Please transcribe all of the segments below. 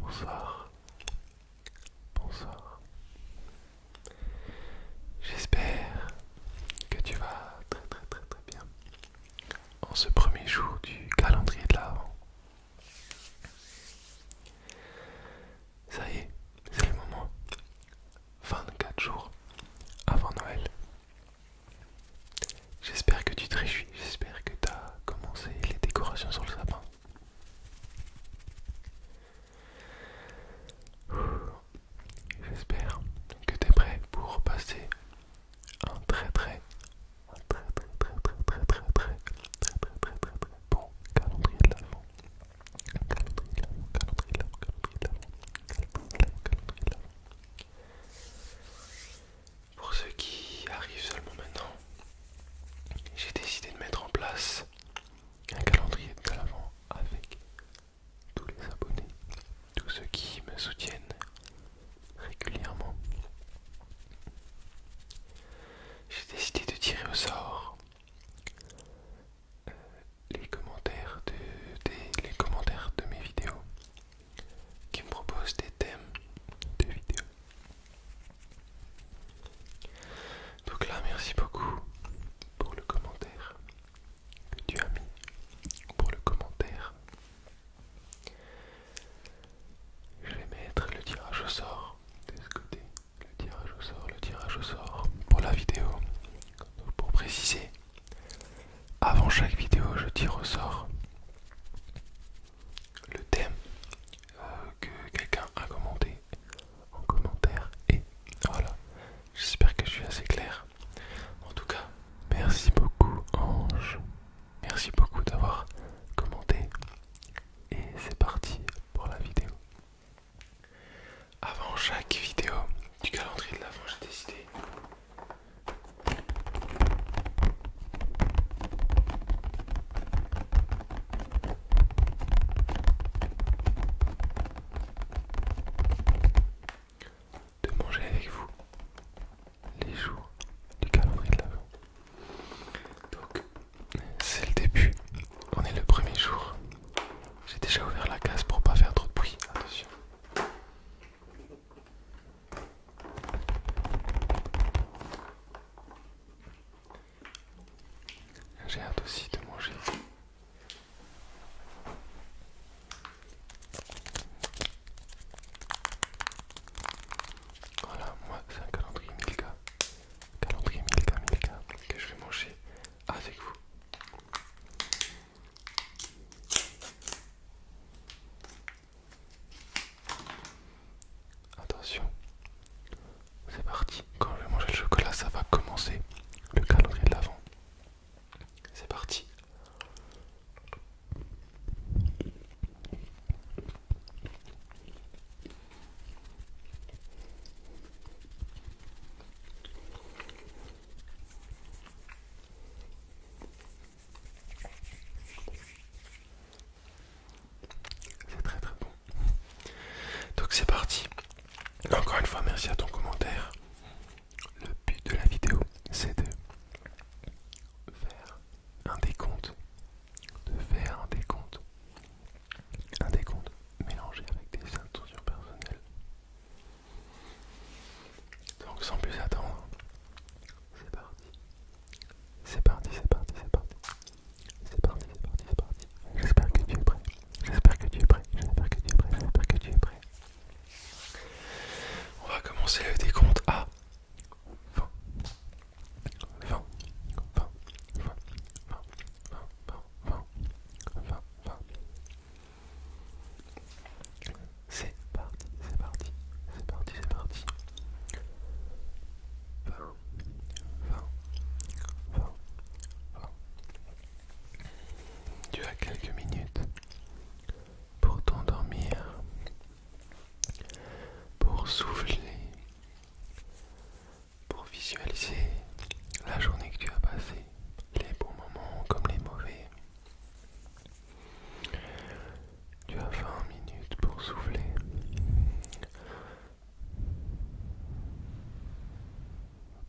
Bonsoir, bonsoir. J'espère que tu vas très très très très bien en ce premier jour du calendrier de l'Avent. Ça y est, c'est le moment. 24 jours avant Noël. J'espère que tu te réjouis, j'espère que tu as commencé les décorations sur le sapin. J'espère que tu es prêt pour passer un très très un très très très très très très très très très très très très bon calendrier de l'avant. un Calendrier de l'avant, calendrier de l'avant, calendrier de l'avant, calendrier de l'avant, calendrier de l'avant. Pour ceux qui arrivent seulement maintenant, j'ai décidé de mettre en place un calendrier de l'avant avec tous les abonnés tous ceux qui me soutiennent régulièrement. J'ai décidé de tirer au sort euh, les commentaires de, les commentaires de mes vidéos qui me proposent des thèmes de vidéos. Donc là, merci beaucoup pour le commentaire que tu as mis, pour le commentaire je vais mettre le tirage au sort de ce côté. Le tirage au sort, le tirage au sort pour la vidéo. pour préciser, avant chaque vidéo, je tire au sort le thème euh, que quelqu'un a commenté en commentaire. Et voilà, j'espère que je suis assez clair. En tout cas, merci beaucoup Ange. Merci beaucoup d'avoir commenté. Et c'est parti pour la vidéo. Avant chaque vidéo du calendrier de l'avant, j'ai décidé de manger avec vous les jours du calendrier de Donc, c'est le début, on est le premier jour. J'ai déjà ouvert la case pour pas faire trop de bruit, attention. J'ai hâte aussi de manger. Voilà, moi c'est un calendrier Milka. Calendrier Milka Milka que je vais manger avec vous. Attention, c'est parti. Quand je vais manger le chocolat, ça va commencer le calendrier de l'avant. C'est parti. C'est très très bon. Donc c'est parti. Encore une fois, merci à ton commentaire. Le but de la vidéo, c'est de faire un décompte, de faire un décompte, un décompte mélangé avec des intentions personnelles. Donc sans plus attendre, c'est parti. C'est parti, c'est parti, c'est parti. C'est parti, c'est parti, c'est parti. J'espère que tu es prêt. J'espère que tu es prêt. J'espère que tu es prêt. J'espère que tu es prêt. On va commencer le décompte à 20, 20, 20, 20, 20, 20, 20, 20, C'est parti, c'est parti, c'est parti, c'est parti. 20, 20, 20, 20. Tu as quelques minutes pour t'endormir, pour souffler, pour visualiser la journée que tu as passée, les bons moments comme les mauvais. Tu as 20 minutes pour souffler.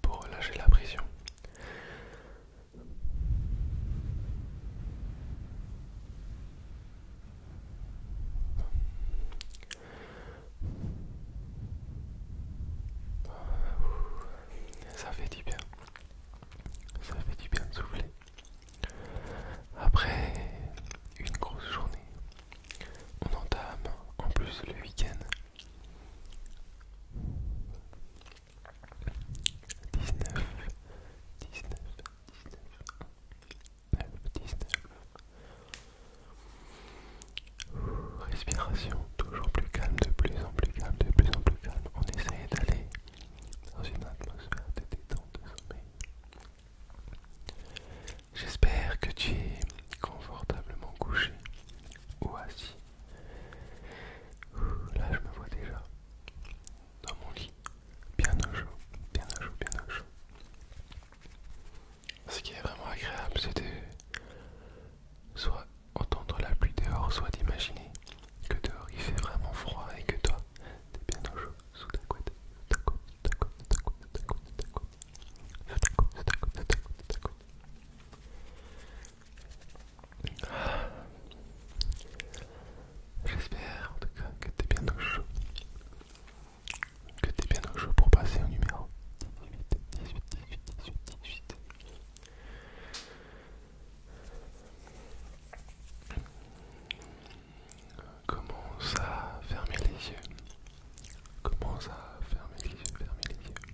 Pour relâcher la pression, ça fait du bien. Ça fait du bien de souffler. Après une grosse journée, on entame en plus le week-end. 19, 19, 19, 19, 19. respiration toujours plus calme, de plus en plus calme, de plus en plus calme. On essaye d'aller dans une atmosphère de détente, de sommeil. J'espère que tu es confortablement couché ou assis Là, je me vois déjà dans mon lit, bien au chaud, bien au chaud, bien au chaud. Ce qui est vraiment agréable, c'est de soit entendre la pluie dehors, soit d'imaginer que dehors il fait vraiment froid et que toi, t'es bien au chaud, sous ta couette, sous ta couette, sous ta couette, sous ta couette, ta couette, ta couette, ta couette, ta couette, ta couette, ta couette. J'espère en tout cas que t'es bien au chaud. Que t'es bien au chaud pour passer au numéro 18, 18, 18, 18, 18. Commence à fermer les yeux. Commence à fermer les yeux, fermer les yeux.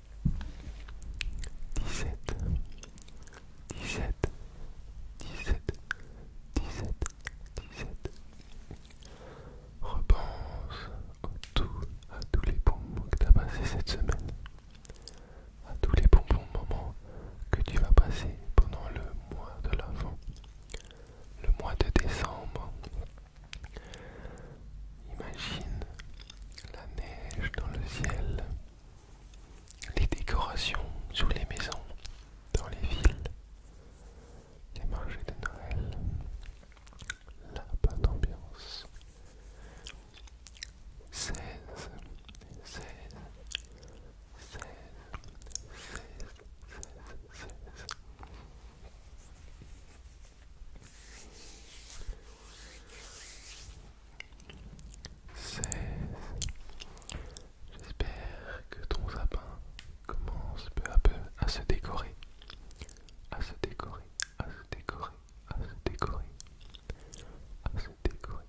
17 17 17 17 dix Repense à tous les bons moments que tu as passés cette semaine, à tous les bonbons bons moments que tu vas passer pendant le mois de l'avant, le mois de décembre. Imagine la neige dans le ciel, les décorations sous les maisons, dans les villes, les marchés de Noël, la bonne ambiance. 16, 16, 16, 16, 16, 16. 16. J'espère que ton sapin commence peu à peu à se décorer, à se décorer, à se décorer, à se décorer, à se décorer,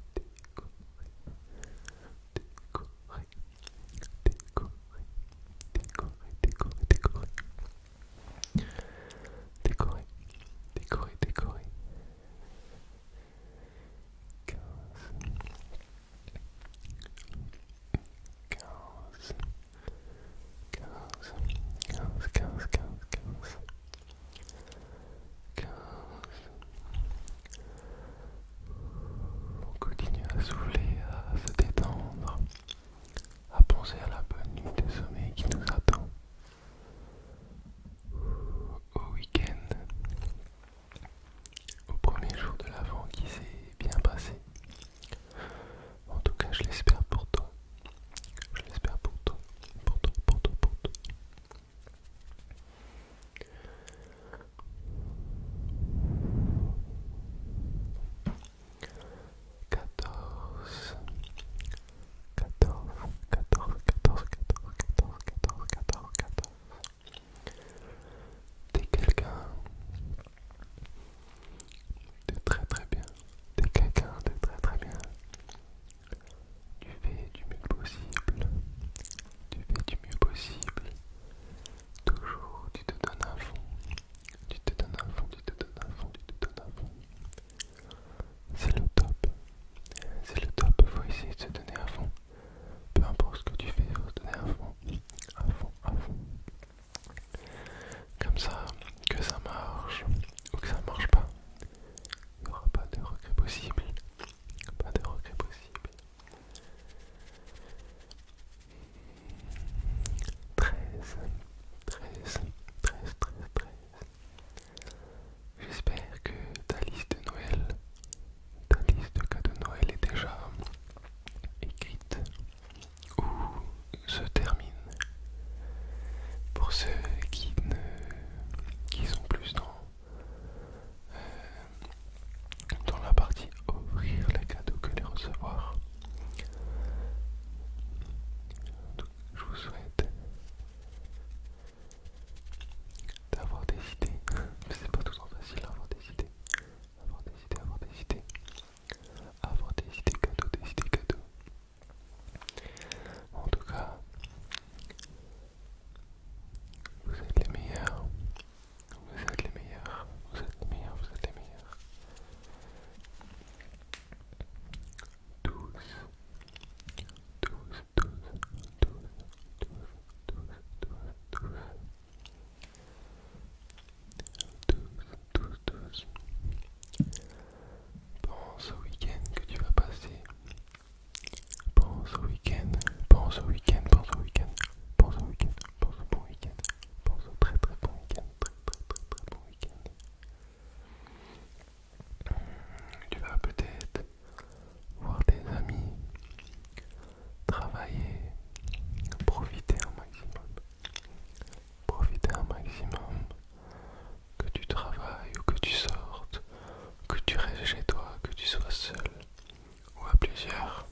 Décorer, décorer, décorer. 15, 15, 15, 15, 15, 15. On continue à souffler, à se détendre à penser à la bonne nuit de sommeil qui nous attend au week-end, au premier jour de l'avant qui s'est bien passé. En tout cas, je l'espère pour toi. Je l'espère pour toi, pour toi, pour toi, pour toi. 14 14 14 14 14 14 14 14 14 T'es quelqu'un de très très bien. T'es quelqu'un de très très bien. Tu fais du mieux possible. Tu fais du mieux possible. Toujours tu te donnes un fond. Tu te donnes à fond, tu te donnes à fond, tu te donnes à fond. C'est le top. C'est le top, il faut essayer de se donner à fond. Peu importe ce que tu fais, il faut se donner à fond. À fond, à fond. Comme ça, que ça marche ou que ça marche pas, il n'y aura pas de regret possible. Pas de regret possible. 13, 13, 13, 13, 13. J'espère que ta liste de Noël, ta liste de cadeaux de Noël est déjà écrite ou se termine. Pour ceux qui, ne, sont plus dans, euh, dans la partie Ouvrir les cadeaux que les recevoir. je vous souhaite d'avoir des idées, mais c'est pas toujours facile d'avoir des idées, avoir des idées, avoir des idées, avoir des idées cadeaux, des idées cadeaux. En tout cas, vous êtes les meilleurs, vous êtes les meilleurs, vous êtes les meilleurs, vous êtes les meilleurs. tous, tous, tous, tous, tous, tous, Pense au week-end que tu vas passer. Pense au week-end, pense au week-end, pense au au week-end. Pense au bon week-end. Pense au très très bon week-end. Très très très très bon week-end. Hmm, tu vas peut-être voir tes amis, travailler, profiter un maximum. Profiter un maximum. Que tu travailles ou que tu sortes, que tu restes chez toi, que tu sois seul ou à plusieurs.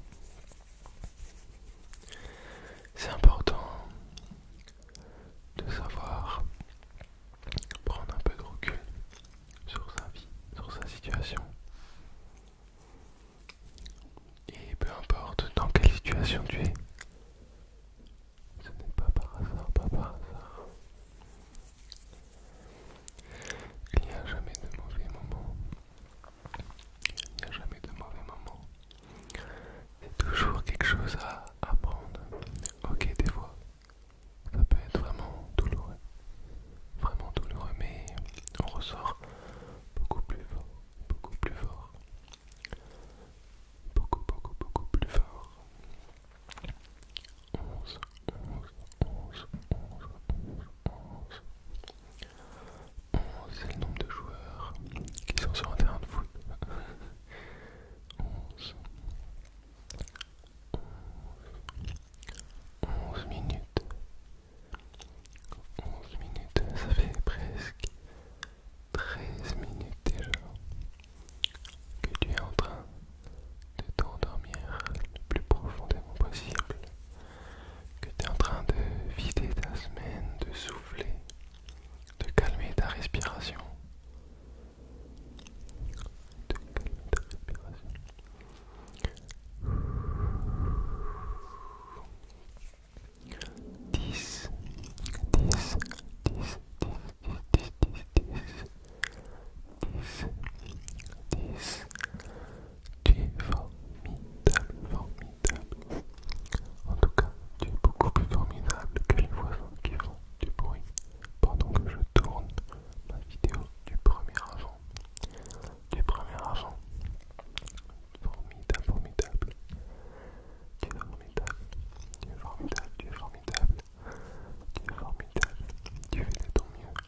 C'est important de savoir prendre un peu de recul sur sa vie, sur sa situation. Et peu importe dans quelle situation tu es, ce n'est pas par hasard, pas par hasard. Il n'y a jamais de mauvais moment il n'y a jamais de mauvais moment. Il y a toujours quelque chose à apprendre. Ok, des fois, ça peut être vraiment douloureux. Vraiment douloureux, mais on ressort beaucoup plus fort. Beaucoup plus fort. Beaucoup, beaucoup, beaucoup plus fort. 11, 11, 11, 11, 11, 11. 11 c'est le nombre de joueurs qui sont sur un terrain de foot. 11. 11 minutes. 11 minutes, ça fait presque 13 minutes déjà que tu es en train de t'endormir le plus profondément possible que tu es en train de vider ta semaine, de souffler, de calmer ta respiration. De calmer ta respiration. Dix, dix, dix, dix, dix, dix, dix, dix, dix, dix, tu es formidable, formidable. En tout cas, tu es beaucoup plus formidable que les voisins qui font du bruit pendant que je tourne ma vidéo du premier agent. Du premier agent. Formidable, formidable. Tu es formidable. Tu es formidable, tu es formidable. Tu es formidable. Tu fais de ton mieux.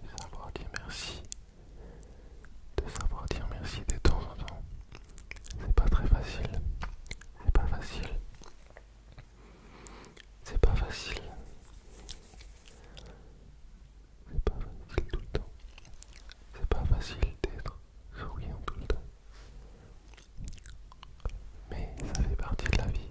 de savoir dire merci, de savoir dire merci de temps en temps. C'est pas très facile, c'est pas facile, c'est pas facile, c'est pas facile tout le temps, c'est pas facile d'être souriant tout le temps. Mais ça fait partie de la vie.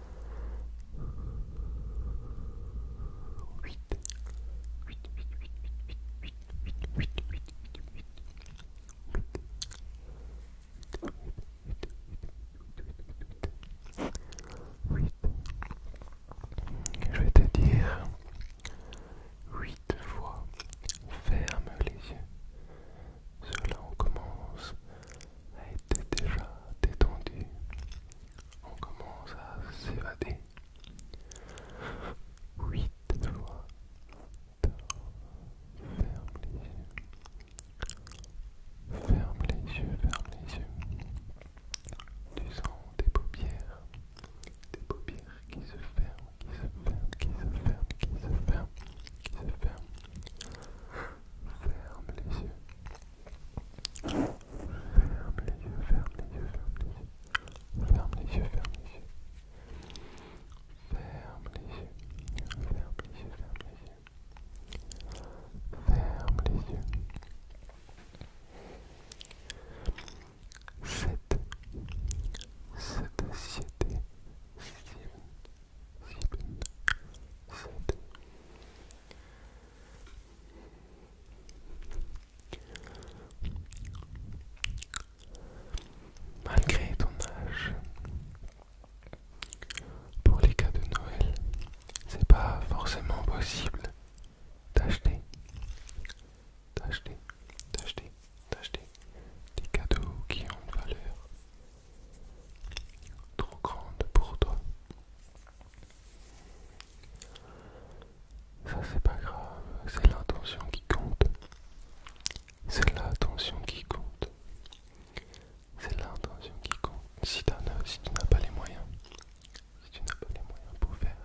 Je vais te dire huit fois. Ferme les yeux. Cela commence à déjà détendu on commence à s'évader. 8 fois. Ferme les yeux. Ferme les yeux, ferme les yeux. Tu sens des paupières. Des paupières qui se ferment, qui se ferment, qui se ferment, qui se ferment, qui se ferment. Ferme les yeux. Ferme les yeux, ferme les yeux, ferme les yeux. Ferme les yeux, ferme les yeux. Ferme les yeux, ferme les yeux, les yeux. Malgré ton âge, pour les cadeaux de Noël, c'est pas forcément possible d'acheter, d'acheter, d'acheter, d'acheter des cadeaux qui ont une valeur trop grande pour toi. Ça c'est pas grave, c'est l'intention qui compte. C'est l'intention qui compte. C'est l'intention qui compte. Si, tu n'as pas les moyens, si tu n'as pas les moyens pour faire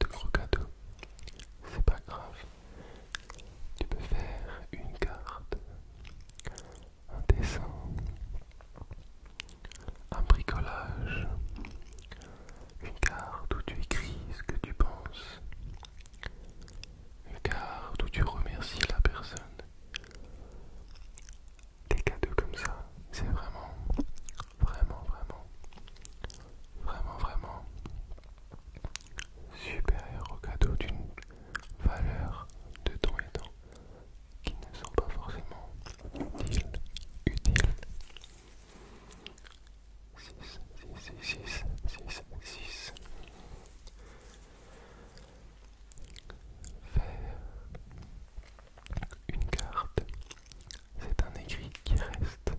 de gros cadeaux, c'est pas grave. Tu peux faire une carte un dessin, un bricolage, une carte où tu écris ce que tu penses, une carte où tu remercies la personne. Des cadeaux comme ça, c'est vraiment, vraiment, vraiment, vraiment, vraiment supérieur au cadeau d'une valeur de ton et qui ne sont pas forcément utiles. 6, 6, 6, 6, 6, 6. Faire une carte, c'est un écrit qui reste,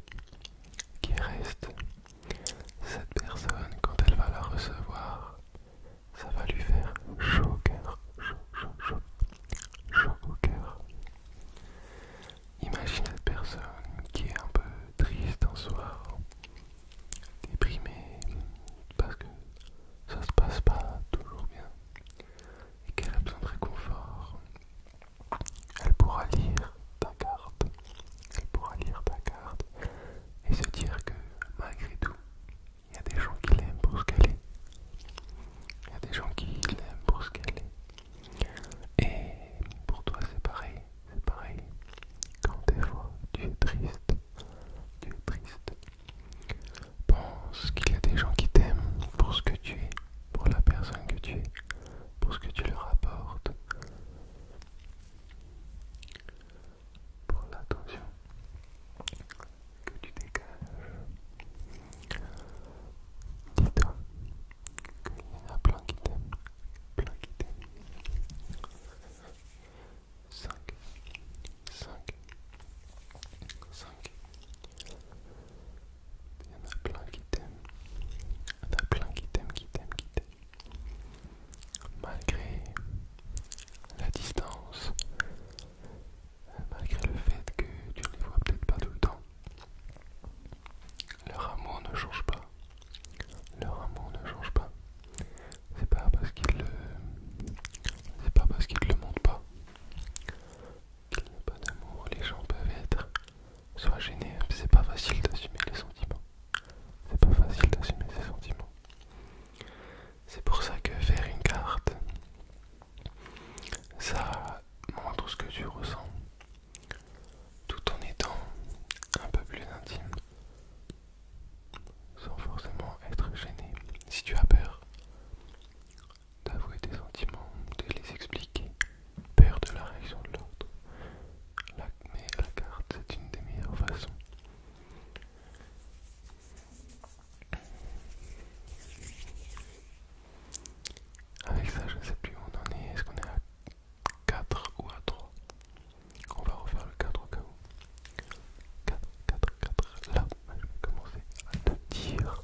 qui reste. Cette personne, quand elle va la recevoir, ça va lui faire chaud au cœur, chaud, chaud, chaud, chaud au cœur. Imagine une personne qui est un peu triste en soir, déprimée, parce que ça se passe pas toujours bien, et qu'elle a besoin de réconfort. Elle pourra lire ta carte, elle pourra lire ta carte, et se dire que malgré tout, il y a des gens qui l'aiment pour ce qu'elle est. Il y a des gens qui l'aiment pour ce qu'elle est. Et pour toi c'est pareil, c'est pareil. Quand des fois tu es triste, tu es triste. Pense qu'il y a des gens qui t'aiment pour ce que tu es, pour la personne que tu es, pour ce que tu leur apportes pour l'attention que tu dégages. Dis-toi qu'il y en a plein qui t'aiment, plein qui 5, 5, 5. Il y en a plein qui t'aiment. Il y en a plein qui qui qui t'aiment malgré la distance, malgré le fait que tu ne les vois peut-être pas tout le temps, leur amour ne change pas. Leur amour ne change pas. C'est pas parce qu'ils le. C'est pas parce qu'ils le montrent pas. Qu'il n'y a pas d'amour, les gens peuvent être soit gênés. C'est pas facile d'assumer les sentiments. C'est pas facile d'assumer ses sentiments. C'est pour ça que faire une carte, ça montre ce que tu ressens, tout en étant un peu plus intime, sans forcément être gêné. Si tu as peur d'avouer tes sentiments, de les expliquer, peur de la réaction de l'autre, mais la carte c'est une des meilleures façons avec ça, je ne sais plus où on en est. Est-ce qu'on est à 4 ou à 3 On va refaire le 4 au cas où. 4, 4, 4. Là, je vais commencer à te dire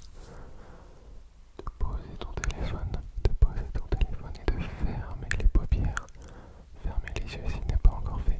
de poser ton téléphone, de poser ton téléphone et de fermer les paupières. Fermer les yeux s'il n'est pas encore fait.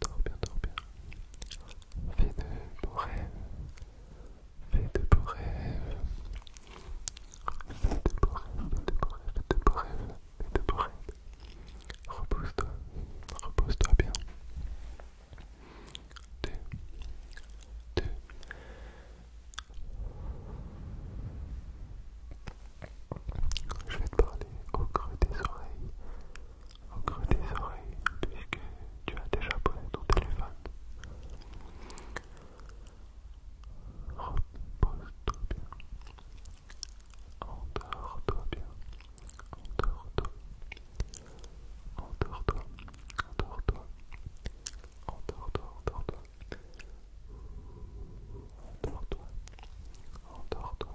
Dors bien, dors bien. Fais de beaux rêves. Fais de beaux rêves. Fais de beaux rêves, fais de beaux rêves, fais de beaux rêves, fais de beaux rêves. Repose-toi, repose-toi bien. Deux, deux, je vais te parler au creux des oreilles, au creux des oreilles, puisque tu as déjà posé ton téléphone. Repose-toi bien. Endors-toi bien. Endors-toi. Endors-toi. Endors-toi. Endors-toi. Endors-toi. Endors-toi. Endors-toi